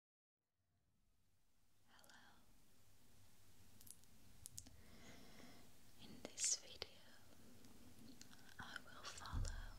Hello. In this video, I will follow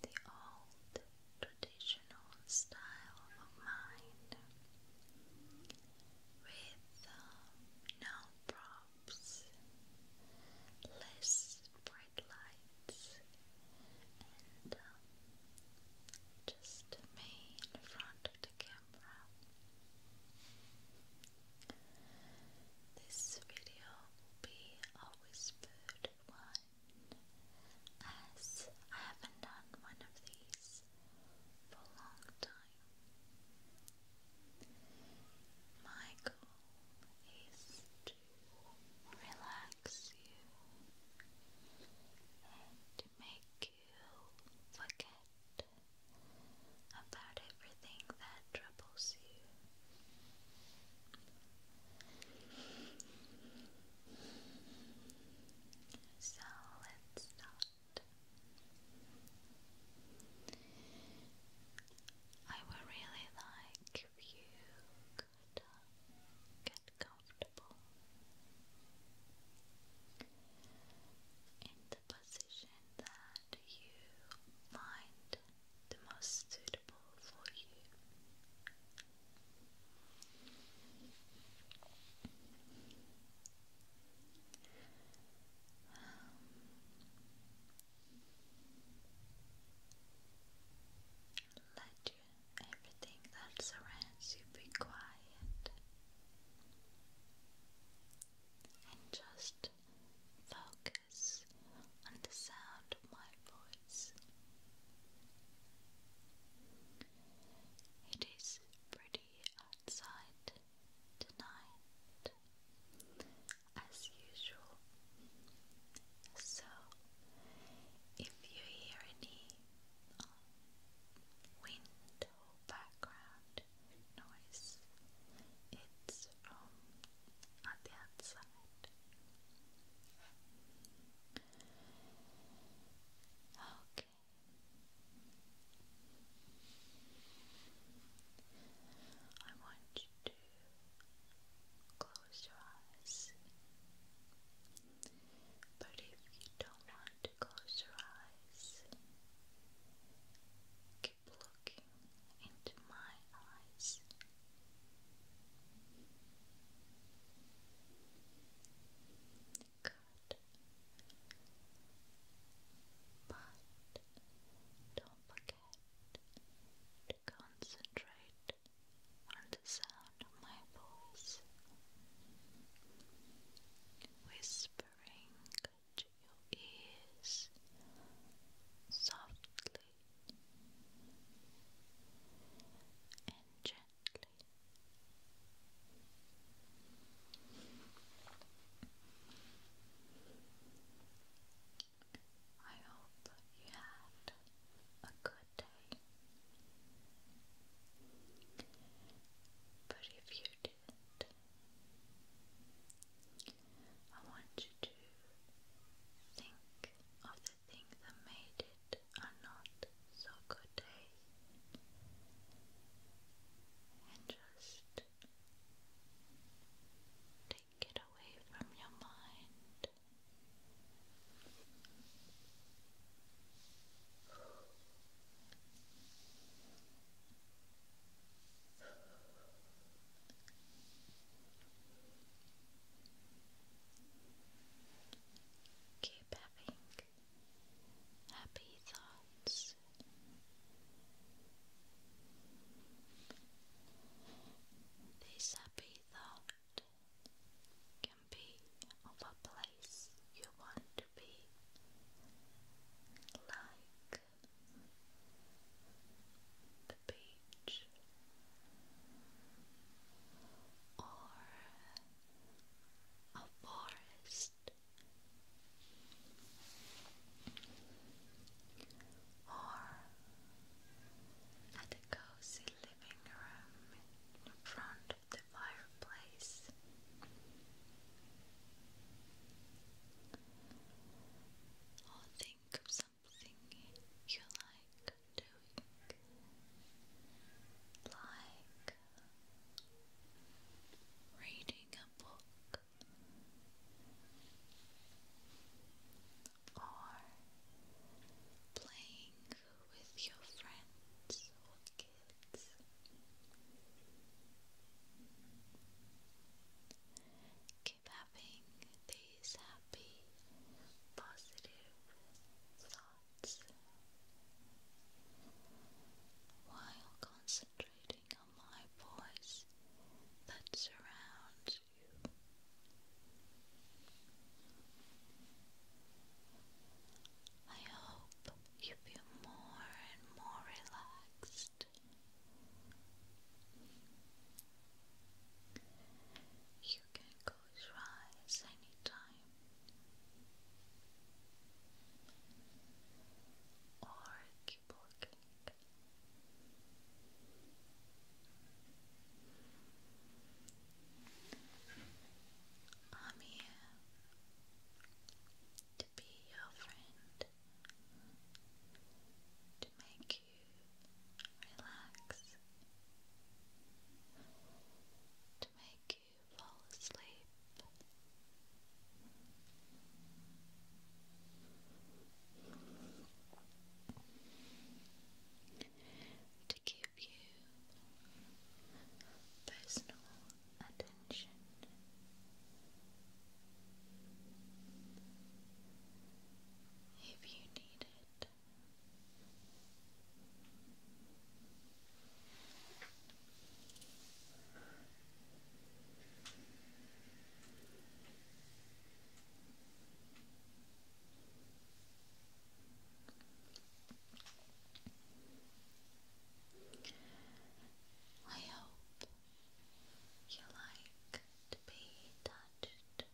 the old traditional style of mind with um, no props, less bright lights, and um, just me in front of the camera. This video will be a whispered one as I haven't done one of these for a long time. My goal is to relax you make you forget about everything that troubles you. So let's start. I would really like you Good. Get comfortable in the position that you find the most suitable for you. Um, let everything that surrounds you be quiet and just focus on the sound of my voice. It is pretty outside tonight, as usual. So, if you hear any window background noise. It's from um, the outside. Okay. I want you to close your eyes but if you don't want to close your eyes, keep looking into my eyes. Good. But don't forget to concentrate on the sound of my voice, whispering to your ears softly and gently. I hope you had a good day. But if you did, I want you to think of the thing that made it a not so good day and just take it away from your mind. Keep having happy thoughts. This happy thought of a place you want to be, like the beach or a forest or a cozy living room in front of the fireplace. Or think of something you like doing, like reading a book or playing with your friends Keep having these happy, positive thoughts while concentrating on my voice that surrounds you. I hope you feel more and more relaxed. You can close your eyes anytime, or keep looking. I'm here to be your friend, to make you relax, to make you fall asleep. To give give you personal attention. If you need it, I hope you like to be touched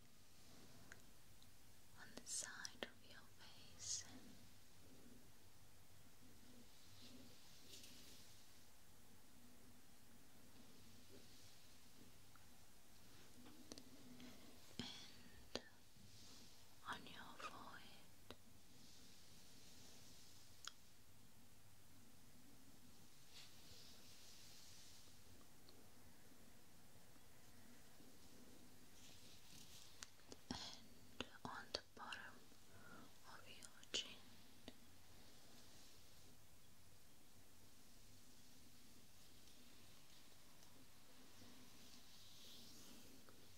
on the side of your face. And on your forehead. And on the bottom of your chin.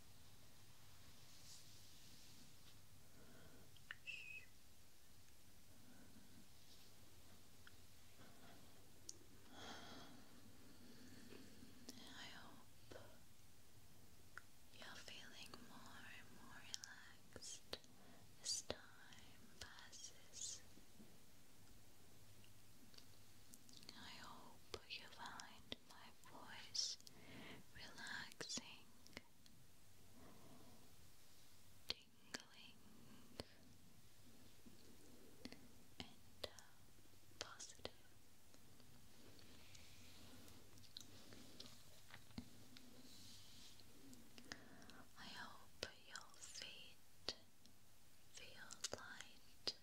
I hope you're feeling more and more relaxed as time passes. I hope you find my voice relaxing, tingling, and positive. I hope your feet feel light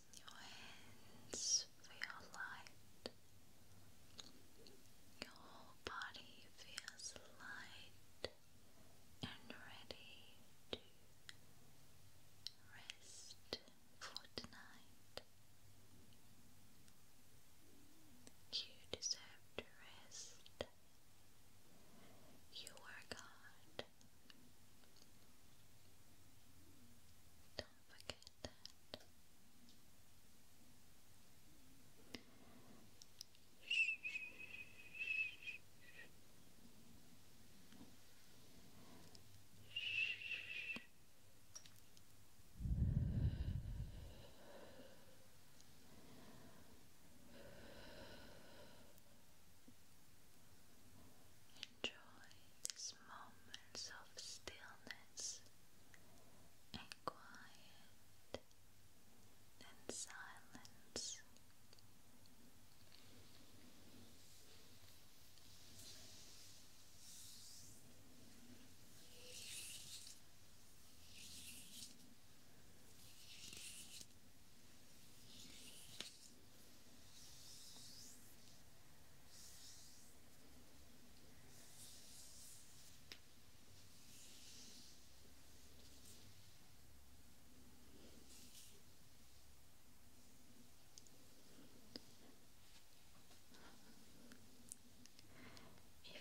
your hands feel light. Your body feels light and ready to rest for tonight. You deserve to rest. You work hard. Don't forget that. Enjoy this these moments of stillness and quiet and silence. If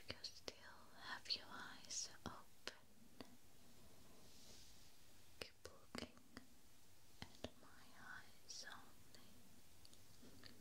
you still have your eyes open, looking at my eyes only. Good.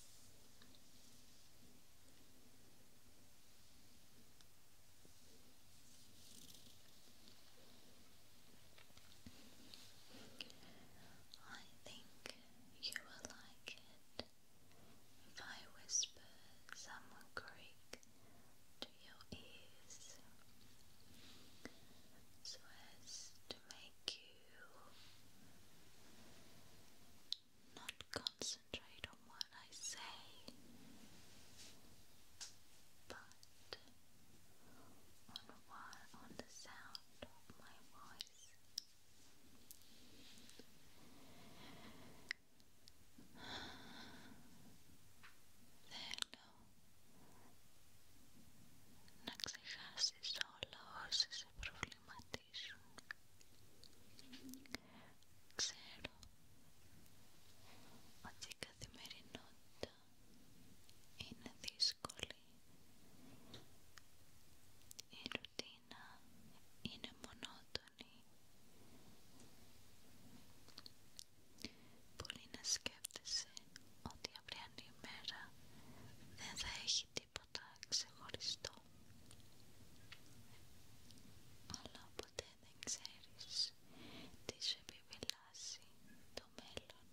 I think you will like it if I whisper some Greek to your ears so as to make you not concentrate on what I say, but on what, on the sound of my voice. Θέλω Ξέρω ότι η καθημερινότητα είναι δύσκολη. Η ρουτίνα είναι μονότονη. Πολλοί να σκέφτεσαι ότι η ημέρα δεν θα έχει τίποτα ξεχωριστό αλλά ποτέ δεν ξέρεις τι σου επιβελάσει το μέλλον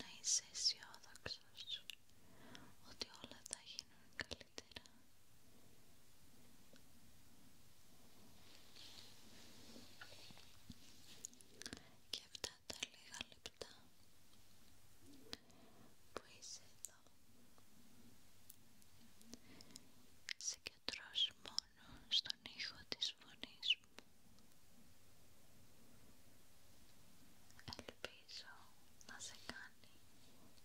να είσαι αισιόδοξο ότι όλα θα γίνουν καλύτερα κι και αυτά τα λίγα λεπτά που είσαι εδώ συγκεντρώσου μόνο στον ήχο της φωνής μου ελπίζω να σε κάνει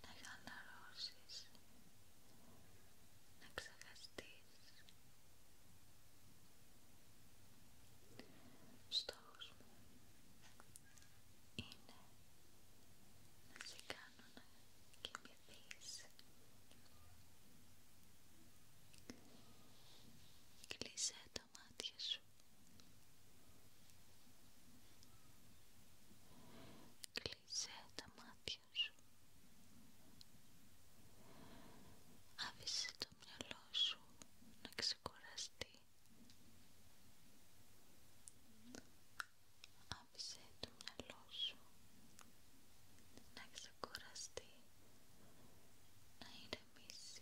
να χαλαρώσεις, να ξεχαστείς. Στόχος μου είναι να σε κάνω να κοιμηθείς. Κλείσε τα μάτια σου. Κλείσε τα μάτια σου. Άφησε το μυαλό σου να ξεκοραστεί, Άφησε το μυαλό σου να ξεκοραστεί να ηρεμήσει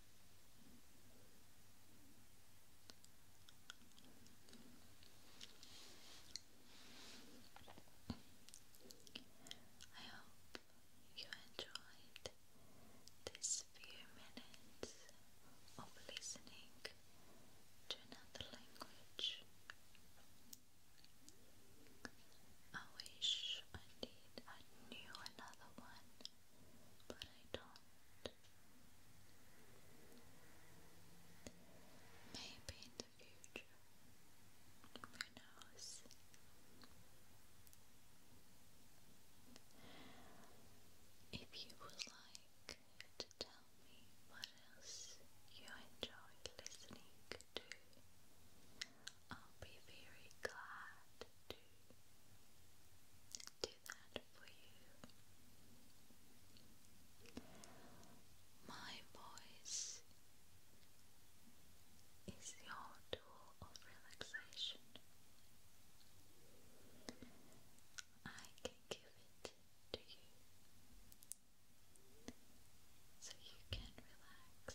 I hope you enjoyed this few minutes of listening to another language. I wish I did, I knew another one but I don't. Maybe in the future, who knows? If you would like to tell me what else you enjoyed listening to, I'll be very glad to do do you. My voice is your tool of relaxation. I can give it to you so you can relax.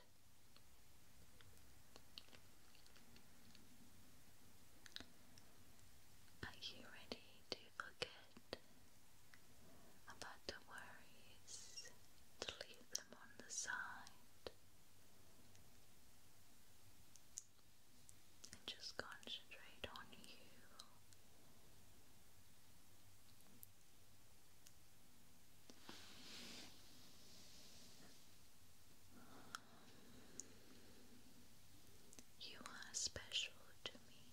Are you ready to forget about the worries, to leave them on the side, and just concentrate on you? You are special to me.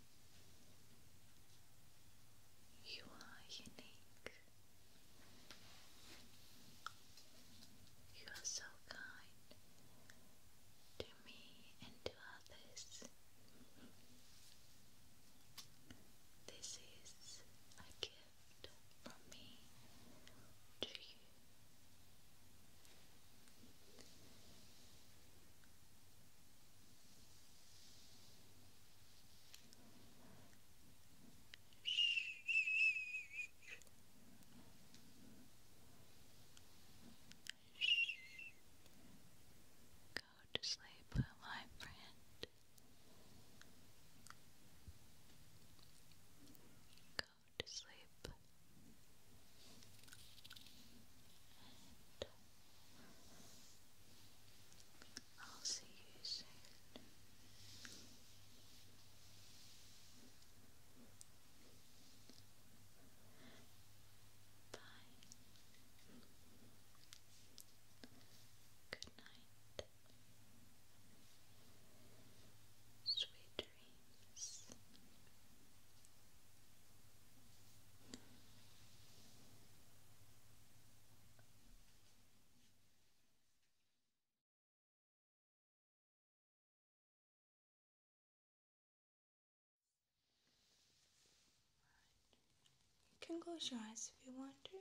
You are unique. You are so kind to me and to others. This is a gift gift you. Go to sleep, my friend. Go to sleep I'll see you soon. Bye. Good night. Sweet dreams. You can close your eyes if you want to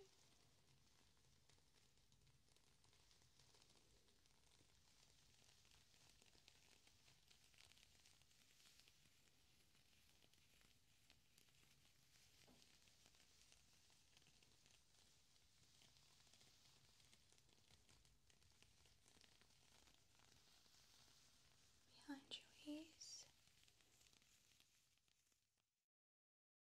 behind your ears.